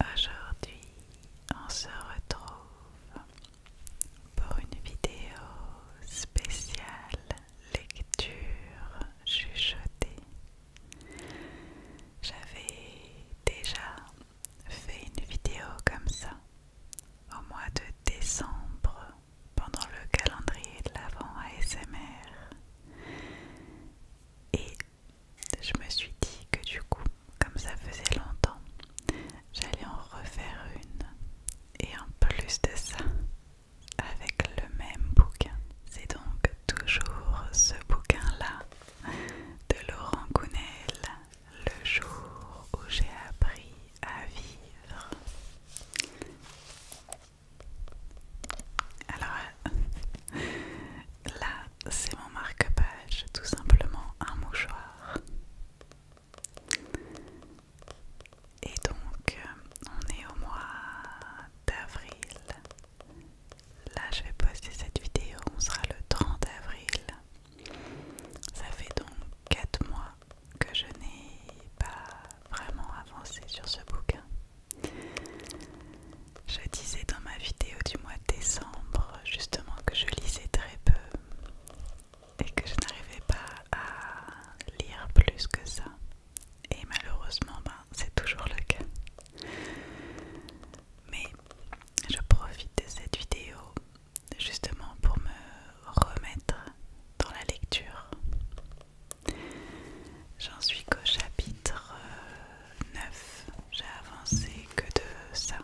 Aujourd'hui, on se retrouve pour une vidéo spéciale lecture chuchotée. J'avais déjà fait une vidéo comme ça au mois de décembre pendant le calendrier de l'Avent ASMR. Et je me suis dit que du coup, comme ça faisait longtemps, j'allais en refaire une. Et en plus de ça, avec le même bouquin. C'est donc toujours ce bouquin-là de Laurent Gounel, le jour où j'ai appris à vivre. Alors, là, c'est mon marque-page, tout simplement un mouchoir. Et donc, on est au mois d'avril. Là, je vais poster cette vidéo, on sera le 30 avril. Ça fait donc 4 mois que je n'ai pas vraiment avancé sur ce bouquin. Je disais dans ma vidéo du mois de décembre justement que je lisais très peu et que je n'arrivais pas à lire plus que ça. Et malheureusement, ben, c'est toujours le cas. Mais je profite de cette vidéo justement pour me remettre dans la lecture. J'en suis qu'au chapitre 9 euh, j'ai avancé que de ça.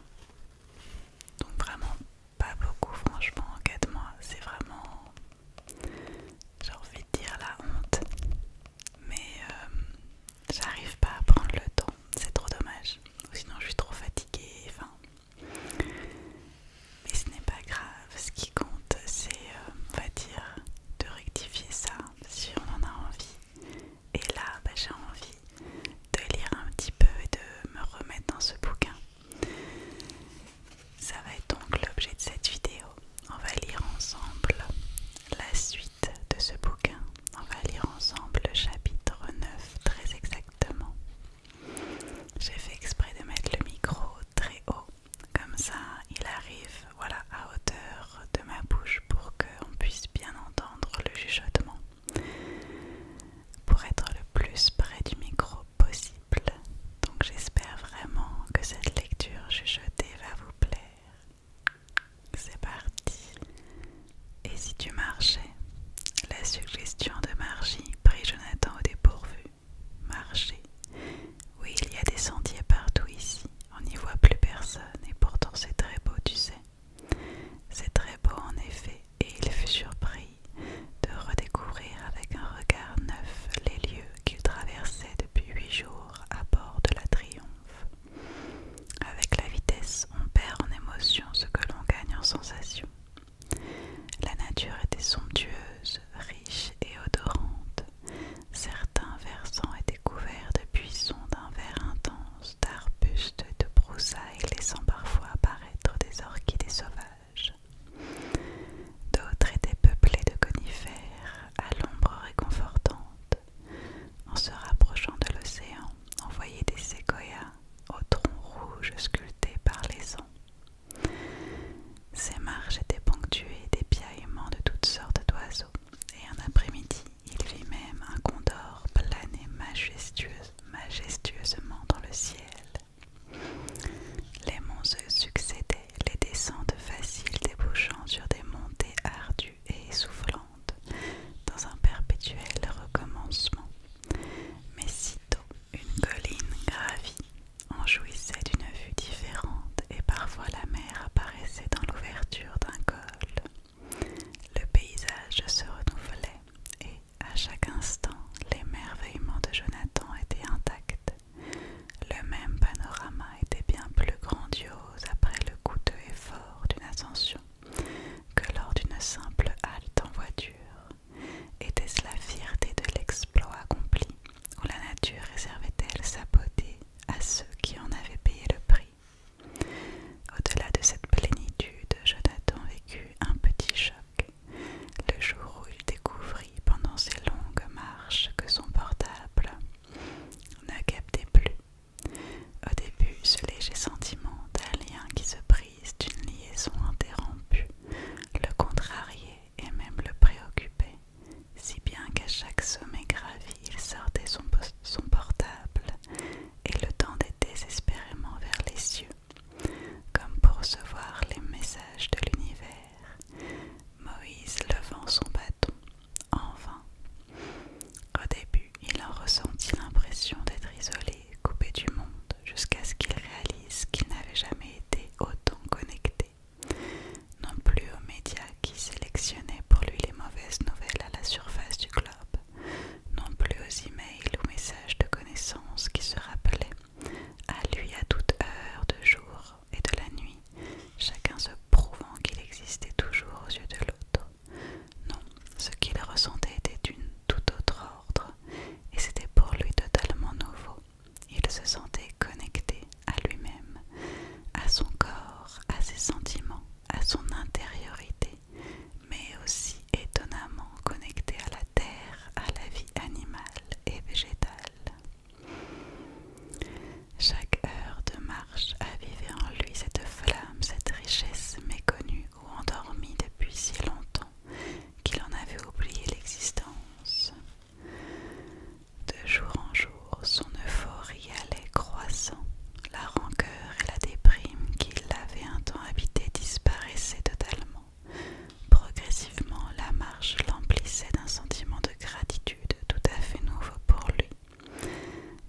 Donc vraiment pas beaucoup franchement en 4 mois. C'est vraiment, j'ai envie de dire la honte. Mais euh, j'arrive pas à prendre le temps. C'est trop dommage. Sinon je suis trop fatiguée. Enfin. Mais ce n'est pas grave. Ce qui compte c'est, euh, on va dire, de rectifier ça si on en a envie et là, bah, j'ai envie de lire un petit peu et de me remettre dans ce bouquin. Ça va être donc l'objet de cette vidéo. On va lire ensemble la suite de ce bouquin. On va lire ensemble le chapitre 9 très exactement. J'ai fait exprès de mettre le micro très haut. Comme ça, il arrive voilà, à hauteur de ma bouche pour qu'on puisse bien entendre le chuchotement. Pour être le plus près du micro possible. Donc j'espère vraiment que cette lecture chuchotée va vous plaire. C'est parti. Et si tu marchais La suggestion de Margie Pris Jonathan au dépourvu. Marcher. Oui, il y a des sentiers partout ici. On n'y voit plus personne et pourtant c'est très beau, tu sais. C'est très beau en effet, et il fut surpris de redécouvrir avec un regard neuf les lieux qu'il traversait depuis huit jours à bord de la Triomphe. Avec la vitesse, on perd en émotion ce que l'on gagne en sensation. La nature était somptueuse, riche et odorante. Certains versants étaient couverts de buissons d'un vert intense d'arbustes et de broussailles laissant parfois apparaître des orchidées sauvages. D'autres étaient peuplés de conifères à l'ombre réconfortante. En se rapprochant de l'océan, on voyait des séquoias aux troncs rouges sculptés par les ans. Ces marches étaient ponctuées des piaillements de toutes sortes d'oiseaux, et un après-midi il vit même un condor planer majestueusement dans le ciel. Les monts se succédaient, les descentes faciles débouchant sur des montées ardues et essoufflantes, dans un perpétuel recommencement. Mais sitôt une colline gravie, en jouissait d'une vue différente et parfois la mer apparaissait dans l'ouverture d'un col. Le paysage se renouvelait et, à chaque instant, l'émerveillement de Jonathan était intact. Le même panorama était bien plus grandiose après le coûteux effort d'une ascension que lors d'une simple halte en voiture. Était-ce la fierté de l'exploit accompli, ou la nature réservait-elle sa beauté à ceux qui en avaient payé le prix au-delà de cette plénitude, Jonathan vécut un petit choc, le jour où il découvrit pendant ses longues marches que son portable ne captait plus. Au début, ce léger sentiment d'un lien qui se brise, d'une liaison interrompue, le contrariait et même le préoccupait, si bien qu'à chaque sommet gravi, il sortait son portable et le tendait désespérément vers les cieux, comme pour recevoir les messages de l'univers. Moïse levant son bâton, en vain. Au début, il en ressentit l'impression d'être isolé, coupé du monde, jusqu'à ce qu'il réalise qu'il n'avait jamais été autant connecté, non plus aux médias qui sélectionnaient pour lui les mauvaises nouvelles à la surface du globe, non plus aux emails ou messages de connaissances qui se rappelaient à lui à toute heure de jour et de la nuit, chacun se prouvant qu'il existait toujours aux yeux de l'autre. Non, ce qu'il ressentait était d'une tout autre ordre, et c'était pour lui totalement nouveau. Il se sentait connecté à lui-même, à son corps, à ses sentiments, à son intériorité, mais aussi étonnamment connecté à la terre, à la vie animale et végétale. Chaque heure de marche a avivait en lui cette flamme, cette richesse méconnue ou endormie depuis si longtemps qu'il en avait oublié l'existence. De jour en jour, son euphorie allait croissant la rancœur et la déprime qui l'avaient un temps habité disparaissaient totalement. Progressivement, la marche l'emplissait d'un sentiment de gratitude tout à fait nouveau pour lui.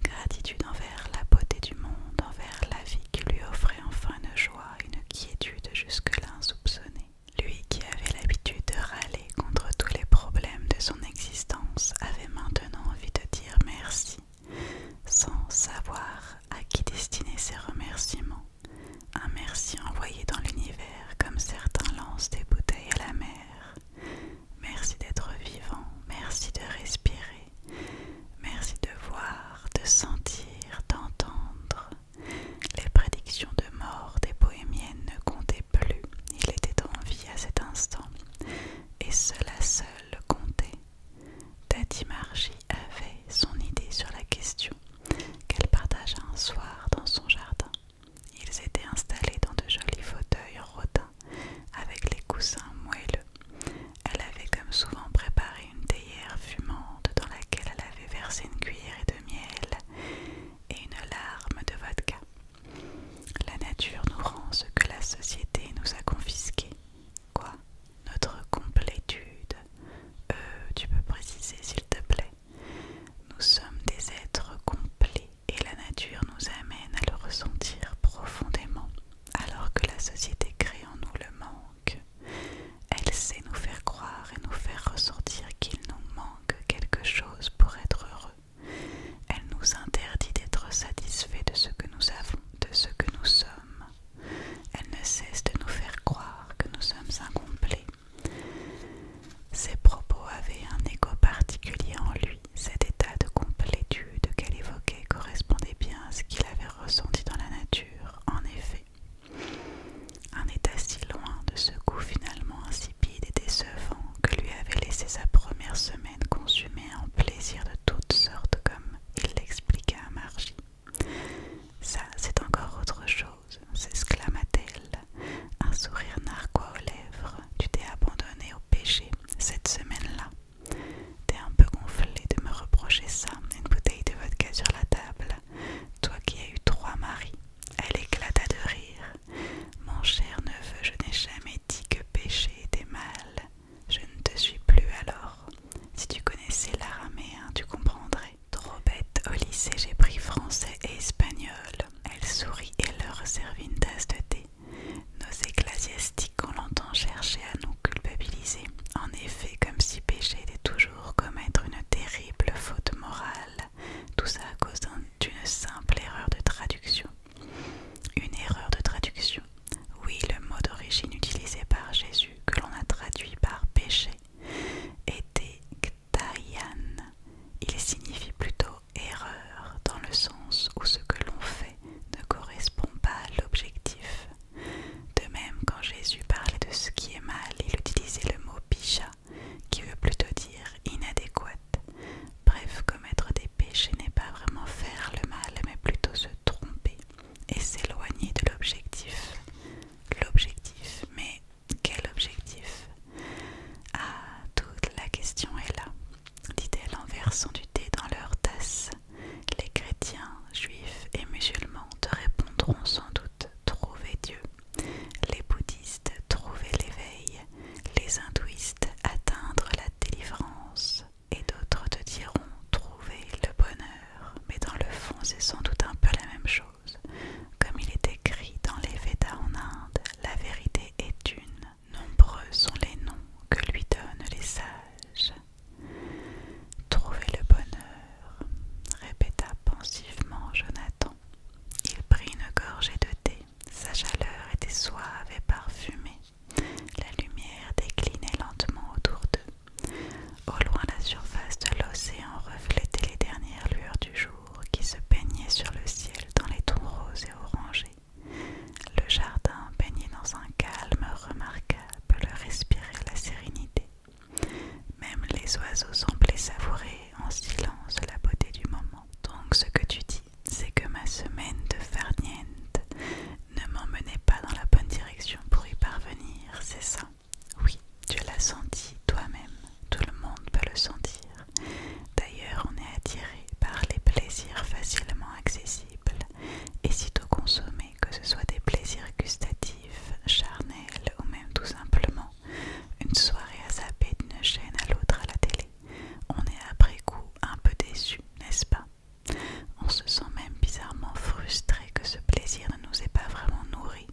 Gratitude envers la beauté du monde, envers la vie qui lui offrait enfin une joie, une quiétude jusque-là insoupçonnée. Lui qui avait l'habitude de râler contre tous les problèmes de son existence avait maintenant envie de dire merci sans savoir à qui destiner ses remerciements. Un merci envoyé dans l'univers comme certains lancent des bouteilles à la mer. Merci d'être vivant, merci de respirer, merci de voir, de sentir, d'entendre. Les prédictions de mort des bohémiennes ne comptaient plus, il était en vie à cet instant, et cela seul comptait. Tati Margie avait son idée sur la question qu'elle partagea un soir dans son jardin. Ils étaient installés dans de jolis fauteuils en avec les coussins moelleux. Elle avait comme souvent préparé une théière fumante dans laquelle elle avait versé une et de miel et une larme de vodka. La nature nous rend ce que la société nous a confisqué. Quoi notre complétude. Euh, tu peux préciser s'il te plaît. Nous sommes des êtres complets et la nature nous amène à le ressentir profondément, alors que la société crée en nous le manque. Elle sait nous faire croire et nous faire ressentir qu'il nous manque quelque chose pour être heureux. Elle nous interdit d'être satisfait de ce que nous avons, de ce que nous sommes. Elle ne cesse de nous faire croire que nous sommes incomplets. Ses propos avaient un écho particulier en lui. Cet état de complétude qu'elle évoquait correspondait bien à ce qu'il avait ressenti dans la nature, en effet. Un état si loin de ce goût finalement insipide et décevant que lui avait laissé sa première semaine consumée en plaisirs de toutes sortes comme il l'expliqua à Margie. Ça, c'est encore autre chose, s'exclama-t-elle, un sourire narquois aux lèvres. Tu t'es abandonné au péché cette semaine-là. T'es un peu gonflé de me reprocher ça, une bouteille de vodka sur la table. Toi qui as eu trois maris. Elle éclata de rire. Mon cher neveu, je n'ai jamais dit que péché était mal. Je ne te suis plus alors. Si tu connaissais l'araméen, tu comprendrais. Trop bête, au lycée, j'ai pris français et espagnol. Elle sourit et leur servit une tasse de thé. Nos ecclésiastiques, on l'entend chercher à nous culpabiliser. En effet, comme si péché était toujours commettre une terrible faute morale. Tout ça à cause d'une simple erreur de traduction. Une erreur de traduction. Oui, le mot d'origine utilisé par Jésus, que l'on a traduit par péché, était ktayan. Il signifie plutôt erreur, dans le sens où ce que l'on fait ne correspond pas à l'objectif. De même, quand Jésus parlait de ce qui est mal, il utilisait le mot picha, qui veut plutôt dire inadéquate. Bref, commettre des péchés n'est pas vraiment faire le mal, mais plutôt se tromper, et s'éloigner de l'objectif. L'objectif, mais quel objectif Ah, toute la question est là, dit-elle en versant du thé dans leur tasse. Les chrétiens, juifs et musulmans te répondront sans doute trouver Dieu. Les bouddhistes trouver l'éveil, les hindouistes atteindre la délivrance et d'autres te diront trouver le bonheur, mais dans le fond c'est sans doute un peu la même chose. Comme il est écrit dans les Védas en Inde, la vérité est une. Nombreux sont les noms que lui donnent les sages. Trouver le bonheur, répéta pensivement Jonathan. Il prit une gorgée de thé. Sa chaleur était suave et parfumée. La lumière déclinait lentement autour d'eux. Au loin, la surface de l'océan reflétait les dernières lueurs du jour qui se peignaient sur le ciel dans les tons roses et orangés. Le jardin, baignait dans un calme remarquable, respirait la sérénité. Même les oiseaux semblaient savourer en silence la beauté du moment. Donc ce que tu dis, c'est que ma semaine de farniente ne m'emmenait pas dans la bonne direction pour y parvenir, c'est ça Oui, tu l'as senti toi-même, tout le monde peut le sentir. D'ailleurs, on est attiré par les plaisirs facilement accessibles et sitôt consommés, que ce soit des plaisirs gustatifs, charnels ou même tout simplement une soirée à saper d'une chaîne à l'autre à la télé. On est après coup un peu déçu, n'est-ce pas on se sent même bizarrement frustré que ce plaisir ne nous ait pas vraiment nourri.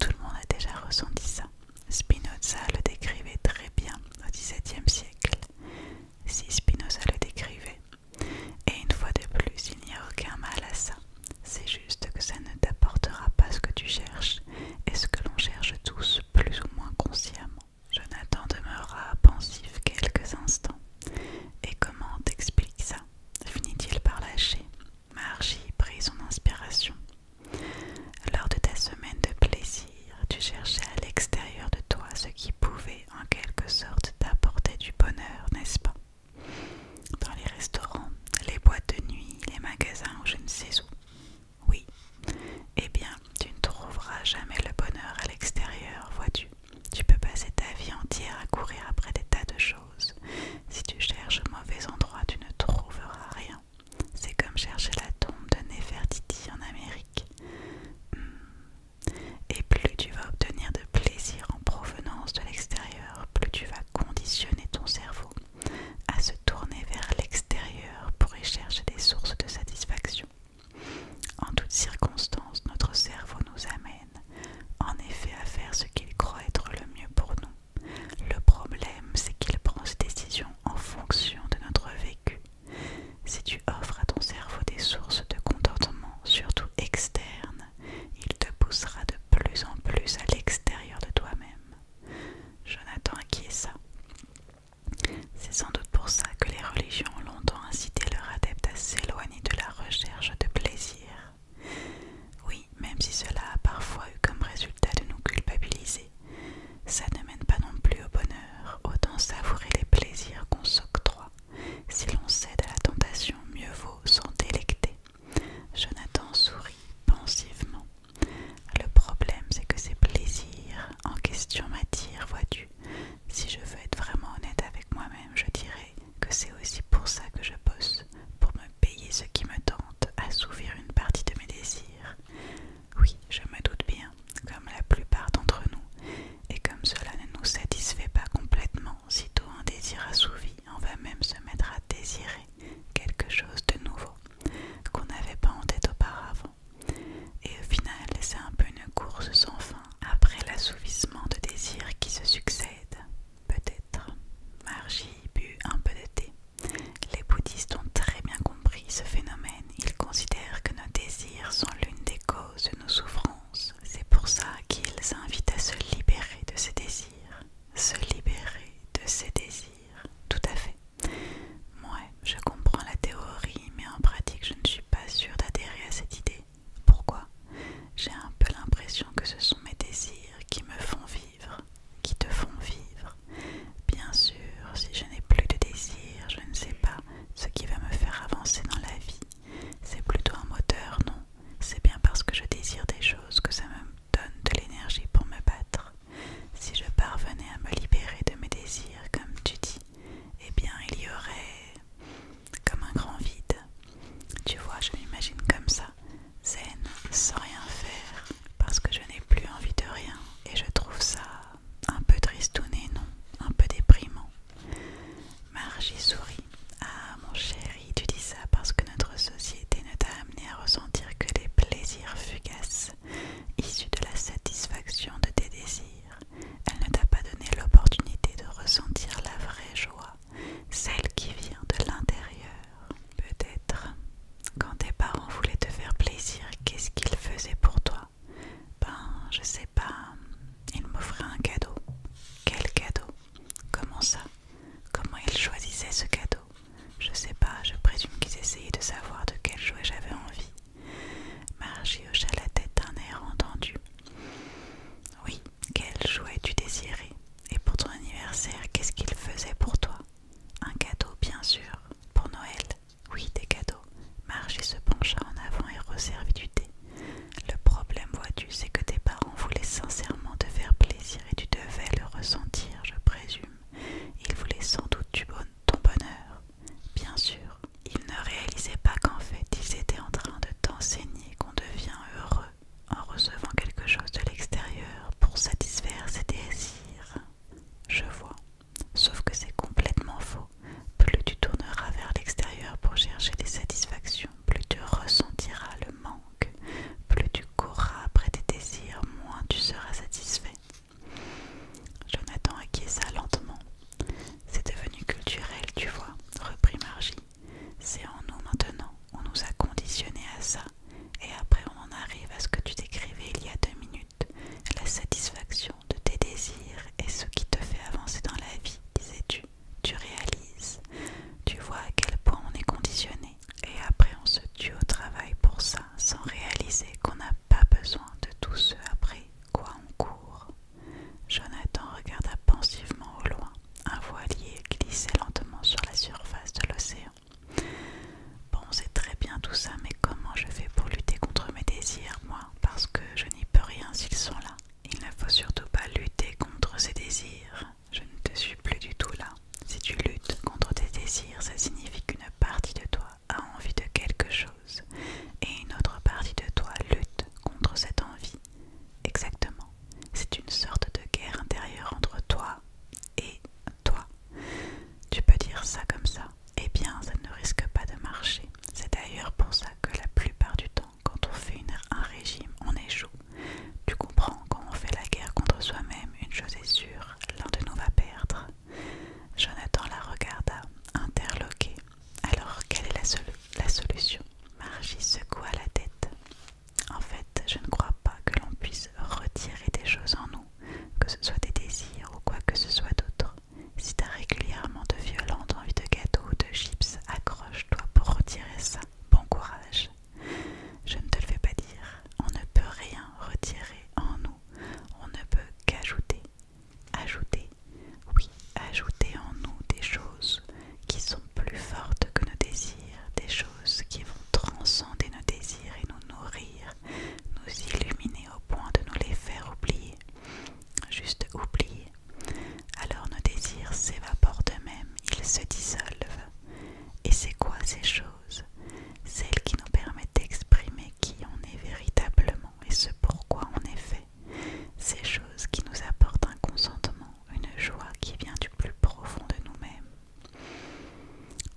Tout le monde a déjà ressenti ça. Spinoza le décrivait très bien au XVIIe siècle. Si Spinoza le décrivait. Et une fois de plus, il n'y a aucun mal à ça. C'est juste que ça ne t'apportera pas ce que tu cherches et ce que l'on cherche tous plus ou moins consciemment. Jonathan demeura pensif quelques instants. Et comment t'explique ça finit-il par lâcher. Margie prit son inspiration. Lors de ta semaine de plaisir, tu cherchais à l'extérieur de toi ce qui pouvait en quelque sorte t'apporter du bonheur, n'est-ce pas Dans les restaurants, les boîtes de nuit, les magasins je ne sais où. Oui. Eh bien, tu ne trouveras jamais le bonheur à l'extérieur, vois-tu tu peux passer ta vie entière à courir après des tas de choses. Si tu cherches au mauvais endroit, tu ne trouveras rien. C'est comme chercher la tombe de Nefertiti en Amérique. Hmm. Et plus tu vas obtenir de plaisir en provenance de l'extérieur, plus tu vas conditionner ton cerveau à se tourner vers l'extérieur pour y chercher des sources de satisfaction. En toutes circonstances, notre cerveau nous amène en effet à faire ce qu'il croit être le mieux pour nous. Le problème, c'est qu'il prend ses décisions en fonction de notre vécu. Si tu offres à ton cerveau des sources de contentement, surtout externes, il te poussera de plus en plus à l'extérieur de toi-même. Jonathan ça C'est sans doute pour ça que les religions ont longtemps incité leurs adeptes à s'éloigner de la recherche de plaisir oui, même si cela a parfois eu comme résultat de nous culpabiliser, ça ne mène pas non plus au bonheur. Autant savourer les plaisirs qu'on s'octroie. Si l'on cède à la tentation, mieux vaut s'en délecter. Jonathan sourit pensivement. Le problème, c'est que ces plaisirs en question m'attirent, vois-tu. Si je veux être vraiment honnête avec moi-même, je dirais que c'est aussi pour ça que je bosse, pour me payer ce qui me tente, assouvir une partie de mes désirs. Oui, je me doute bien, comme la plupart d'entre nous, et comme cela ne nous satisfait pas complètement, sitôt un désir assouvi, on va même se mettre à désirer quelque chose de nouveau qu'on n'avait pas en tête auparavant. Et au final, c'est un peu une course sans fin après l'assouvissement de désirs qui se succèdent. Peut-être. Margie but un peu de thé. Les bouddhistes ont très bien compris ce phénomène. Ils considèrent que nos désirs sont l'une des causes de nos souffrances. C'est pour ça qu'ils invitent à se libérer de ces désirs. Se libérer de ces désirs. Tout à fait. Moi, je comprends la théorie, mais en pratique, je ne suis pas sûre d'adhérer à cette idée. Pourquoi J'ai un peu l'impression que ce sont mes désirs qui me font vivre, qui te font vivre. Bien sûr, si je n'ai plus de désirs, je ne sais pas ce qui va me faire avancer dans la vie. C'est plutôt un moteur, non C'est bien parce que je désire des choses que ça me donne de l'énergie pour me battre. Si je parvenais à me libérer de mes désirs, comme tu dis, eh bien il y aurait comme un grand vide. Tu vois, je m'imagine comme ça, zen, sans rien faire, parce que je n'ai plus envie de rien, et je trouve ça un peu tristouné, non, un peu déprimant. Margie sourit. Ah, mon chéri, tu dis ça parce que notre société ne t'a amené à ressentir que les plaisirs fugaces, issus de la satisfaction de tes désirs. Elle ne t'a pas donné l'opportunité de ressentir la vraie joie, celle qui vient de l'intérieur. Peut-être, quand tes parents voulaient te faire plaisir, qu'est-ce qu'ils faisaient pour toi Ben, je sais pas, ils m'offraient un cadeau. Quel cadeau Comment ça Comment ils choisissaient ce cadeau Je sais pas, je présume qu'ils essayaient de savoir de quel jouet j'avais envie. Margie hocha la tête d'un air entendu. Oui, quel jouet tu désirais Et pour ton anniversaire, qu'est-ce qu'il faisait pour toi Un cadeau, bien sûr. Pour Noël Oui, des cadeaux. Margie se pencha en avant et resservit du thé. Le problème, vois-tu, c'est que tes parents voulaient sincèrement te faire plaisir et tu devais le ressentir, je présume. Ils voulaient sans doute ton bonheur. Bien sûr, ils ne réalisaient pas qu'en fait, ils étaient en train de t'enseigner qu'on devient heureux en recevant quelque chose de l'extérieur pour satisfaire ses désirs. Je vois, sauf que c'est complètement faux. Plus tu tourneras vers l'extérieur pour chercher des satisfactions, plus tu ressentiras le manque, plus tu courras après tes désirs, moins tu seras satisfait. Jonathan acquiesça lentement. C'est devenu culturel, tu vois, reprit Margie. C'est en nous maintenant, on nous a conditionnés à ça, et après on en arrive à ce que tu décrivais il y a deux minutes, la satisfaction de tes désirs et ce qui te fait avancer dans la vie, disais-tu. Tu réalises, tu vois à quel point on est conditionné, et après on se tue au travail pour ça, sans réaliser qu'on n'a pas besoin de tout ce après quoi on court. Jonathan regarda pensivement au loin. Un voilier glissait lentement sur la surface de l'océan. Bon, c'est très bien tout ça, mais comment je fais pour lutter contre mes désirs, moi Parce que je n'y peux rien s'ils sont là. Il ne faut surtout pas lutter contre ses désirs. Je ne te suis plus du tout là. Si tu luttes contre tes désirs, ça signifie qu'une partie de toi a envie de quelque chose et une autre partie de toi lutte contre cette envie. Exactement. C'est une sorte de guerre intérieure entre toi et toi. Tu peux dire ça comme ça. Eh bien, ça ne risque pas de marcher. C'est d'ailleurs pour ça que la plupart du temps, quand on fait un régime, on échoue. Tu comprends, quand on fait la guerre contre soi-même, une chose est sûre, l'un de nous va perdre. Jonathan la regarda, interloqué. Alors, quelle est la solution Margie secoua la tête. En fait, je ne crois pas que l'on puisse retirer des choses en nous, que ce soit des désirs ou quoi que ce soit d'autre. Si as régulièrement de violentes envies de gâteaux ou de chips, accroche-toi pour retirer ça. Bon courage. Je ne te le fais pas dire. On ne peut rien retirer en nous. On ne peut qu'ajouter. Ajouter. Oui, ajouter en nous des choses qui sont plus fortes que nos désirs, des choses qui vont transcender nos désirs et nous nourrir, nous illuminer au point de nous les faire oublier, juste oublier. Alors nos désirs s'évaporent d'eux-mêmes, ils se dissolvent. Et c'est quoi ces choses Celles qui nous permettent d'exprimer qui on est véritablement et ce pourquoi on est fait. Ces choses qui nous apportent un consentement une joie qui vient du plus profond de nous-mêmes.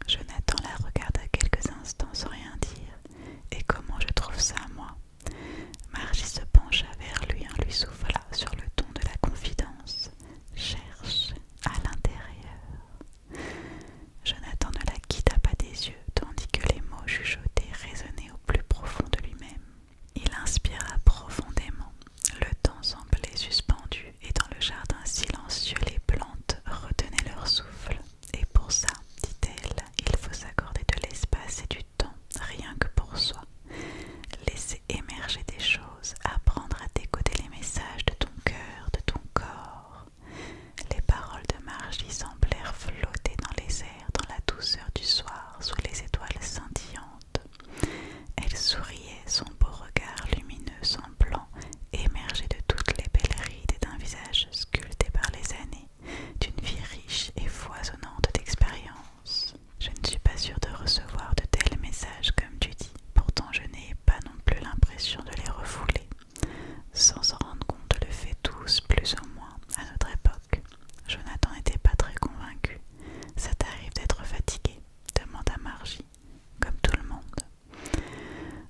Jonathan la regarda quelques instants sans rien dire, et comment je trouve ça, moi Margie se pencha vers lui en hein, lui souffla sur le ton de la confidence. Cherche à l'intérieur. Jonathan ne la quitta pas des yeux, tandis que les mots chuchotés résonnaient au plus profond de lui-même. Il inspira profondément. Le temps semblait suspendu et dans le jardin silencieux les plantes retenaient leur souffle. Et pour ça, dit-elle, il faut s'accorder de l'espace et du temps, rien que pour soi. Laisser émerger des choses, apprendre à décoder les messages de ton cœur, de ton corps. Les paroles de Margie semblèrent flotter dans les airs, dans la douceur du soir, sous les étoiles scintillantes. Elle souriait, son beau regard lumineux, semblant émerger de toutes les belles rides d'un visage sculpté par les années, d'une vie riche et foisonnante d'expérience. Je ne suis pas sûre de recevoir de tels messages comme tu dis, pourtant je n'ai pas non plus l'impression de les refouler. Sans s'en rendre compte, le fait tous, plus ou moins, à notre époque. Jonathan n'était pas très convaincu. Ça t'arrive d'être fatigué. Demande à Margie, comme tout le monde.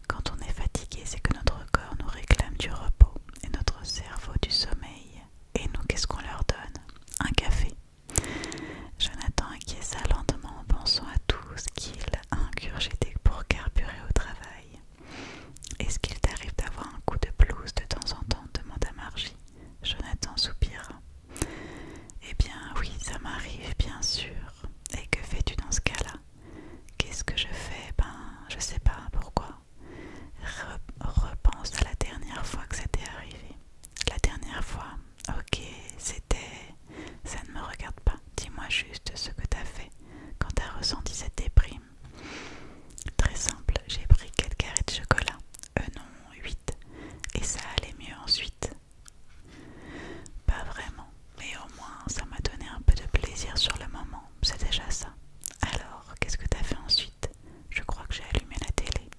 Quand on est fatigué, c'est que notre corps nous réclame du repos et notre cerveau du sommeil. Et nous, qu'est-ce qu'on leur donne Un café. Jonathan acquiesça lentement en pensant à tout ce qu'il ingurgité pour carburer au travail. Est-ce qu'il t'arrive d'avoir un coup de blouse de temps en temps demanda Margie. Jonathan soupira. Eh bien oui, ça m'arrive, bien sûr. Et que fais-tu dans ce cas-là Qu'est-ce que je fais Ben, je sais pas pourquoi. repense à la dernière fois que ça t'est arrivé. La dernière fois Ok, c'était... Ça ne me regarde pas. Dis-moi juste ce que t'as fait quand t'as ressenti cette déprime. Très simple, j'ai pris quelques carrés de chocolat. Euh non, 8. Et ça allait mieux ensuite. Pas vraiment, mais au moins ça m'a donné un peu de plaisir sur le moment, c'est déjà ça. Alors, qu'est-ce que t'as fait ensuite Je crois que j'ai allumé la télé.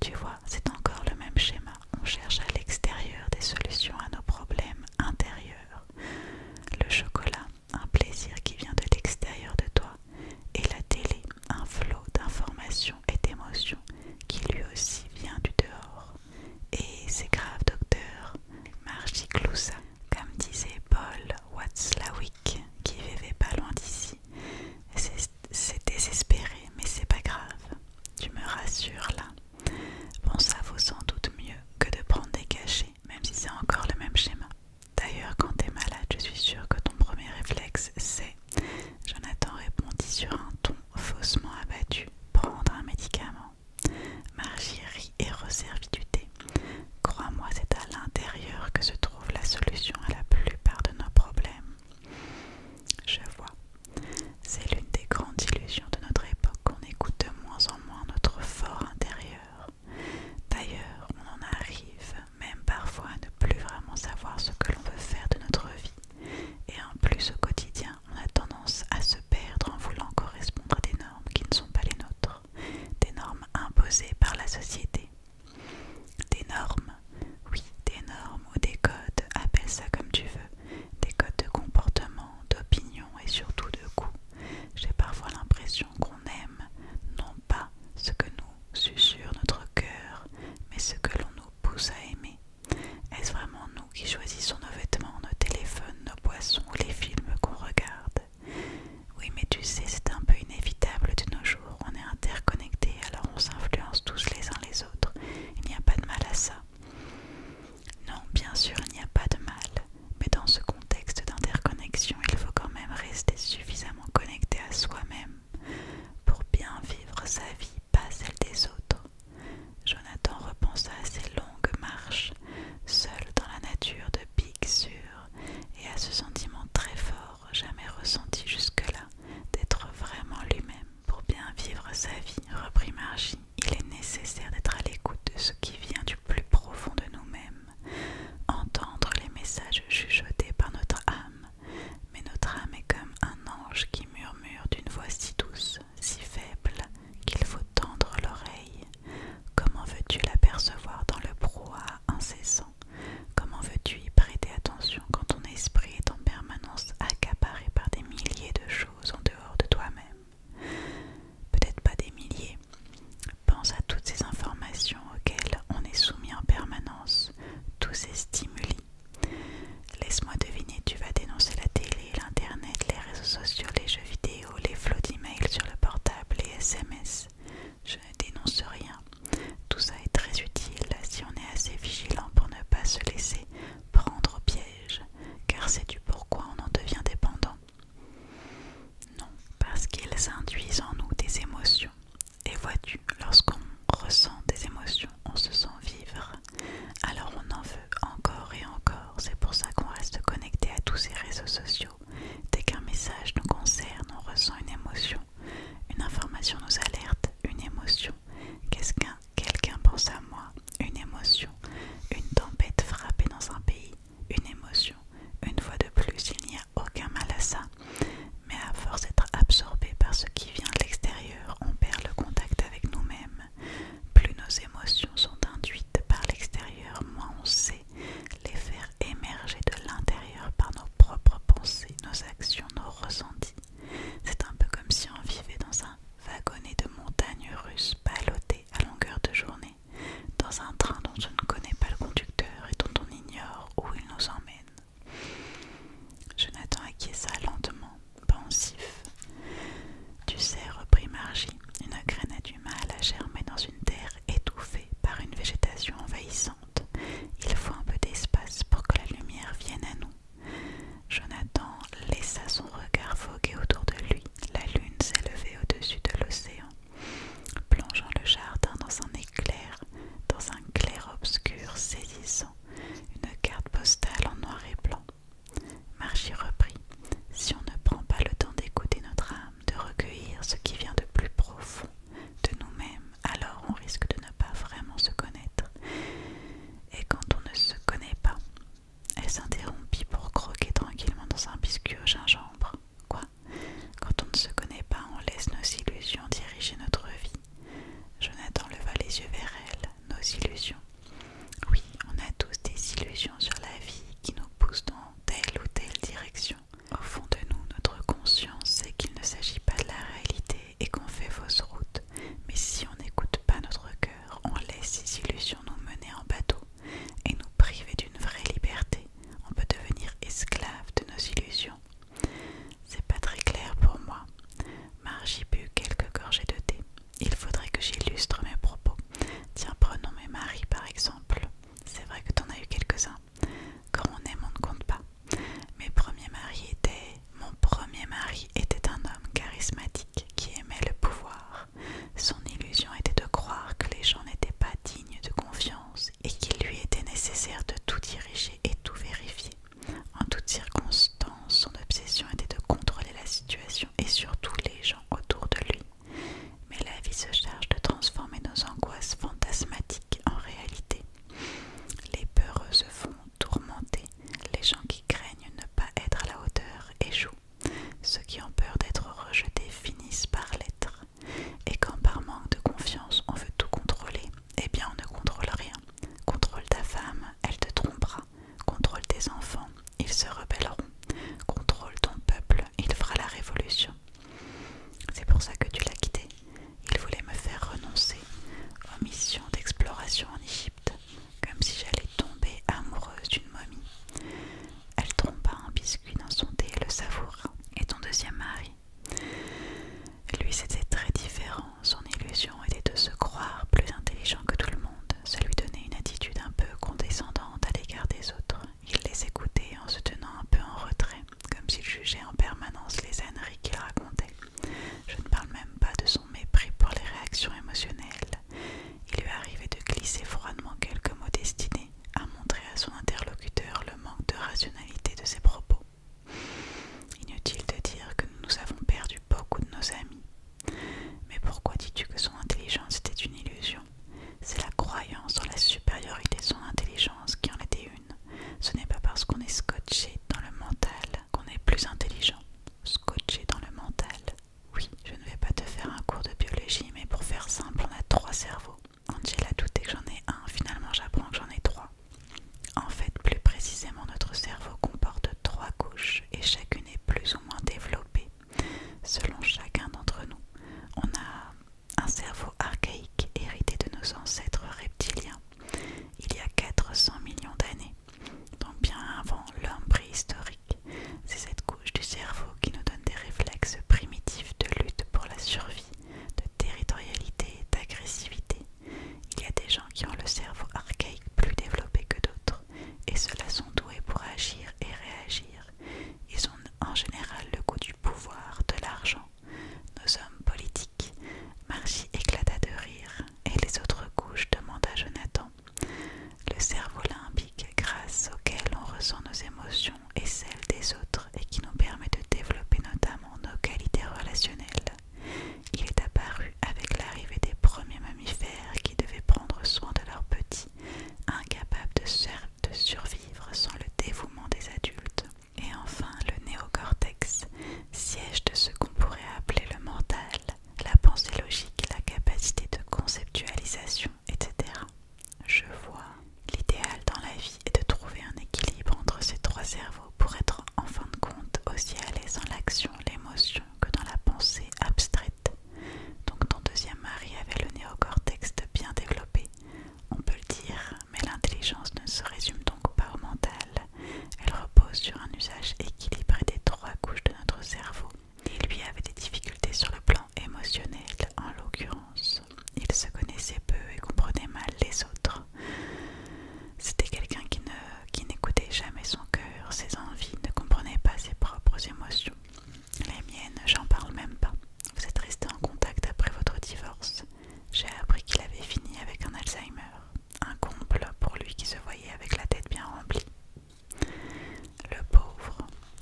Tu vois, c'est encore le même schéma. On cherche à l'extérieur des solutions à nos problèmes intérieurs. Le chocolat, un plaisir qui vient de l'extérieur de toi, et la télé, un flot d'informations et d'émotions qui lui aussi vient du dehors. Et c'est grave, docteur, Margie cloussa, comme disait Paul Watzlawick, qui vivait pas loin d'ici. C'est désespéré, mais c'est pas grave. Tu me rassures là. Bon, ça vaut sans doute mieux que de prendre des cachets, même si c'est encore le même schéma. D'ailleurs, quand t'es malade, je suis sûre que ton premier réflexe, c'est. Jonathan répondit sur un ton faussement abattu, prendre un médicament. Margérie et resservir du thé. Crois-moi, c'est à l'intérieur que se trouve la solution à la plupart de nos problèmes. Je vois. C'est l'une des grandes illusions de notre époque qu'on écoute de moins en moins notre fort intérieur. D'ailleurs, on en arrive même parfois à ne plus vraiment savoir ce que l'on veut faire de notre vie. Et en plus au quotidien, on a tendance à se perdre en voulant correspondre à des normes qui ne sont pas les nôtres, des normes imposées par la société. Des normes, oui, des normes ou des codes, appelle ça comme tu veux, des codes de comportement, d'opinion et surtout de goût. J'ai parfois l'impression qu'on aime non pas ce que nous susurre notre cœur, mais ce que l'on nous pousse à aimer, est-ce vraiment nous qui choisissons nos vêtements, nos téléphones, nos boissons ou les films qu'on regarde Oui, mais tu sais, c'est un peu inévitable de nos jours. On est interconnectés, alors on s'influence tous les uns les autres. Il n'y a pas de mal à ça. Non, bien sûr, il n'y a pas de mal. Mais dans ce contexte d'interconnexion, il faut quand même rester suffisamment connecté à soi-même pour bien vivre sa vie, pas celle des autres. Jonathan repensa à ses longues marches, seul dans la nature de Big Sur, et à ce sentiment très fort, jamais ressenti jusque-là, d'être vraiment lui-même. Pour bien vivre sa vie, reprit Margie, il est nécessaire d'être à l'écoute de ce qui vient du plus profond de nous-mêmes, entendre les messages chuchotés par notre âme, mais notre âme est comme un ange qui murmure d'une voix si douce, si faible, qu'il faut tendre l'oreille. Comment veux-tu l'apercevoir dans le proie incessant Comment veux-tu y prêter attention quand ton esprit est en permanence accaparé par des milliers de choses en dehors de toi-même Peut-être pas des milliers. Pense à toutes ces informations auxquelles on est soumis en permanence, tous ces stimuli Laisse-moi deviner, tu vas dénoncer la télé, l'internet, les réseaux sociaux, les jeux vidéo, les flots d'emails sur le portable, les SMS. Je ne dénonce rien. Tout ça est très utile si on est assez vigilant pour ne pas se laisser prendre au piège, car sais du pourquoi on en devient dépendant. Non, parce qu'ils induisent en nous des émotions. Et vois-tu, lorsqu'on ressent des émotions, on se sent vivre alors on en veut encore et encore. C'est pour ça qu'on reste connecté à tous ces réseaux sociaux. Dès qu'un message nous concerne, on ressent une émotion. Une information nous alerte, une émotion. Qu'est-ce qu'un quelqu'un pense à moi, une émotion. Une tempête frappée dans un pays, une émotion. Une fois de plus, il n'y a aucun mal à ça. Mais à force d'être absorbé par ce qui vient de l'extérieur, on perd le contact avec nous-mêmes plus nos émotions sont induites par l'extérieur, moins on sait les faire émerger de l'intérieur par nos propres pensées, nos actions, nos ressentis. C'est un peu comme si on vivait dans un wagonnet de montagnes russes ballottées à longueur de journée, dans un train dont on ne connaît pas le conducteur et dont on ignore où il nous emmène. Je Jonathan ça lentement, pensif. Tu sais, reprit Margie, une graine a du mal à germer dans une terre étouffée par une végétation envahissante. Il faut un peu d'espace pour que la lumière vienne à nous. Jonathan laissa son regard voguer autour de lui. La lune s'élevait au-dessus de l'océan, plongeant le jardin dans un éclair, dans un clair obscur saisissant, une carte postale en noir et blanc. Marchi reprit Si on ne prend pas le temps d'écouter notre âme, de recueillir ce qui vient de plus profond de nous-mêmes, alors on risque de ne pas vraiment se connaître. Et quand on ne se connaît pas, elle s'interrompit pour croquer tranquillement dans un biscuit au gingembre. Quoi Quand on ne se connaît pas, on laisse nos illusions diriger notre vie. Jonathan leva les yeux vers elle nos illusions. Oui, on a tous des illusions sur la vie qui nous poussent dans telle ou telle direction. Au fond de nous, notre conscience sait qu'il ne s'agit pas de la réalité et qu'on fait fausse route. Mais si on n'écoute pas notre cœur, on laisse ces illusions nous mener en bateau et nous priver d'une vraie liberté. On peut devenir esclave de nos illusions. C'est pas très clair pour moi. Margie but quelques gorgées de thé. Il faudrait que j'illustre mes propos. Tiens, prenons mes maris par exemple. C'est vrai que t'en as eu quelques-uns. Quand on aime, on ne compte pas. Mes premiers maris étaient. Mon premier mari était un homme charismatique qui aimait le pouvoir. Son illusion était de croire que les gens n'étaient pas dignes de confiance et qu'il lui était nécessaire de tout diriger et tout vérifier. En toutes circonstances, son obsession était de contrôler la situation et surtout les gens autour de lui. Mais la vie se charge de transformer nos angoisses fantasmatiques en réalité. Les peureux se font tourmenter, les gens qui craignent ne pas être à la hauteur échouent, ceux qui ont peur d'être rejetés finissent par l'être. Et quand par manque de confiance on veut tout contrôler, eh bien on ne contrôle rien. Contrôle ta femme, elle te trompera. Contrôle tes enfants, ils se rebelleront. Contrôle ton peuple, il fera la révolution. C'est pour ça que tu l'as quitté. Il voulait me faire renoncer aux missions d'exploration en Égypte, comme si j'allais tomber amoureuse d'une momie. Elle trompa un biscuit dans son thé et le savoura. Et ton deuxième mari Lui, c'était très différent son illusion était de se croire plus intelligent que tout le monde. Ça lui donnait une attitude un peu condescendante à l'égard des autres. Il les écoutait en se tenant un peu en retrait, comme s'il jugeait en permanence les âneries qu'il racontait. Je ne parle même pas de son mépris pour les réactions émotionnelles. Il lui arrivait de glisser froidement quelques mots destinés à montrer à son interlocuteur le manque de rationalité de ses propos. Inutile de dire que nous avons perdu beaucoup de nos amis, mais pourquoi dis-tu que son intelligence était une illusion C'est la croyance en la supériorité de son intelligence qui en était une. Ce n'est pas parce qu'on est scotché dans le mental qu'on est plus intelligent. Scotché dans le mental. Oui, je ne vais pas te faire un cours de biologie, mais pour faire simple, on a trois cerveaux. Angela douté que j'en ai un, finalement j'apprends que j'en ai trois. En fait, plus précisément, notre cerveau comporte trois couches et chacune est plus ou moins développée selon chacun d'entre nous. On a un cerveau archaïque hérité de nos ancêtres reptiliens il y a 400 millions d'années, donc bien avant l'homme préhistorique. C'est cette couche du cerveau qui nous donne des réflexes primitifs de lutte pour la survie, de territorialité d'agressivité. Il y a des gens qui ont le cerveau archaïque plus développé que d'autres et ceux-là sont doués pour agir et réagir. Ils ont en général le goût du pouvoir, de l'argent. Nos hommes politiques. Margie éclata de rire, et les autres couches demanda Jonathan. Le cerveau limbique, grâce auquel on ressent nos émotions et celles des autres, et qui nous permet de développer notamment nos qualités relationnelles. Il est apparu avec l'arrivée des premiers mammifères qui devaient prendre soin de leurs petits, incapables de, de survivre sans le dévouement des adultes. Et enfin, le néocortex, siège de ce qu'on pourrait appeler le mental, la pensée logique, la capacité de conceptualisation, etc. Je vois. L'idéal dans la vie est de trouver un équilibre entre ces trois cerveaux pour être en fin de compte aussi à l'aise en l'action, l'émotion que dans la pensée abstraite. Donc ton deuxième mari avait le néocortex bien développé, on peut le dire, mais l'intelligence ne se résume donc pas au mental. Elle repose sur un usage équilibré des trois couches de notre cerveau. Et lui avait des difficultés sur le plan émotionnel, en l'occurrence. Il se connaissait peu et comprenait mal les autres. C'était quelqu'un qui ne qui n'écoutait jamais son cœur, ses envies, ne comprenait pas ses propres émotions. Les miennes, j'en parle même pas. Vous êtes resté en contact après votre divorce. J'ai appris qu'il avait fini avec un Alzheimer. Un comble pour lui qui se voyait avec la tête bien remplie. Le pauvre,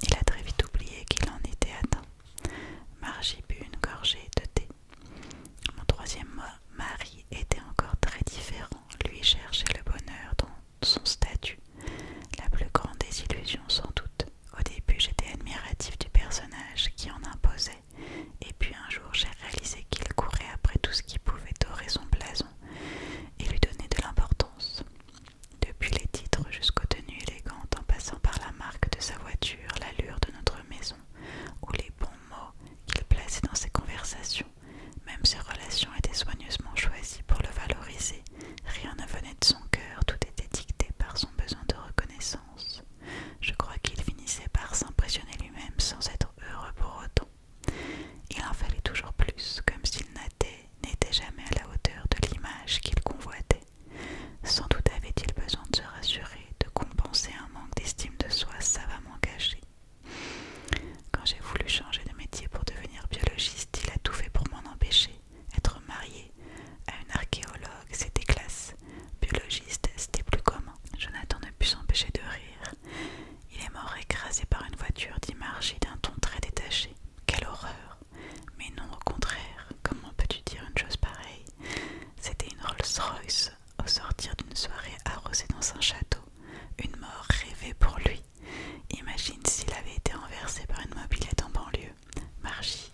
il a très vite oublié qu'il en était atteint. Margie but une gorgée de thé. Mon troisième mari était encore très différent. Lui cherchait le bonheur dans son statut, la plus grande des illusions sans doute. Au début, j'étais admiratif du personnage qui en imposait, et puis un jour, j'ai réalisé qu'il courait après tout ce qui pouvait dorer son blason et lui donner de l'importance. Depuis les titres jusqu'aux tenues élégantes, en passant par la marque de sa voiture, l'allure de notre maison, ou les bons mots qu'il plaçait dans ses conversations, même ses relations étaient soigneusement choisies pour le valoriser. Rien ne venait de son cœur, tout était dicté par son besoin de reconnaissance. Je crois qu'il finissait par s'impressionner lui-même sans être heureux pour autant. Il en fallait toujours plus, comme s'il n'était jamais à la hauteur de l'image qu'il convoitait. Sans doute avait-il besoin de se rassurer, de compenser un manque d'estime de soi savamment caché. Quand j'ai voulu changer de métier pour devenir biologiste, il a tout fait pour m'en empêcher. Être marié à une archéologue, c'était classe. Biologiste, c'était plus commun. Jonathan ne put s'empêcher de rire. Il est mort écrasé par une voiture, dit Margie d'un ton très détaché. Quelle horreur Mais non, au contraire, comment peux-tu dire une chose pareille C'était une Rolls-Royce au sortir d'une soirée arrosée dans un château. Une mort rêvée pour lui. Imagine s'il avait été renversé par une mobilette en banlieue. Margie.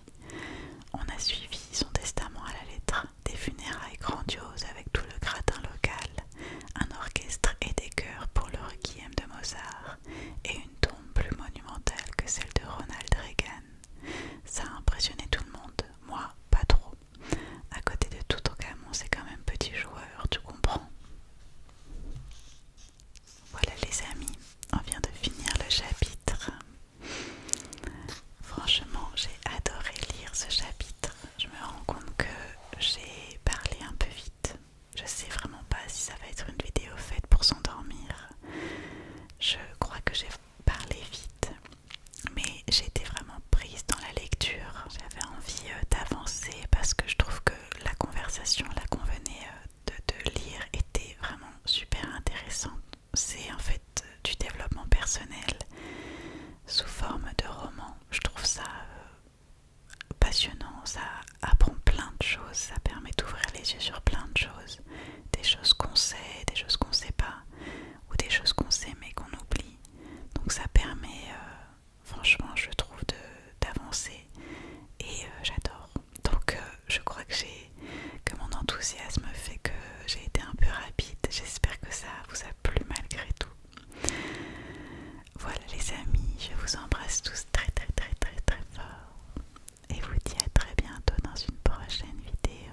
On a suivi son testament à la lettre, des funérailles grandioses avec tout le gratin local, un orchestre et des chœurs pour le requiem de Mozart, et une tombe plus monumentale que celle de Ronald Reagan. Ça a impressionné tout le monde, moi pas trop. À côté de tout ton camion, c'est quand même petit joueur, tu comprends voilà les amis, on vient de finir le chapitre. Franchement, j'ai adoré lire ce chapitre. Je me rends compte que j'ai parlé un peu vite. Je sais vraiment pas si ça va être une vidéo faite pour s'endormir. Je crois que j'ai parlé vite, mais j'étais vraiment prise dans la lecture. J'avais envie euh, d'avancer parce que je trouve que la conversation qu'on venait euh, de, lire était vraiment super intéressante. C'est en fait euh, du développement personnel sous forme de roman. Je trouve ça euh, passionnant, ça apprend plein de choses, ça permet d'ouvrir les yeux sur plein de choses. Des choses qu'on sait, des choses qu'on sait pas, ou des choses qu'on sait mais qu'on oublie. Donc ça permet franchement je trouve d'avancer et euh, j'adore donc euh, je crois que j'ai que mon enthousiasme fait que j'ai été un peu rapide j'espère que ça vous a plu malgré tout voilà les amis je vous embrasse tous très très très très très fort et vous dis à très bientôt dans une prochaine vidéo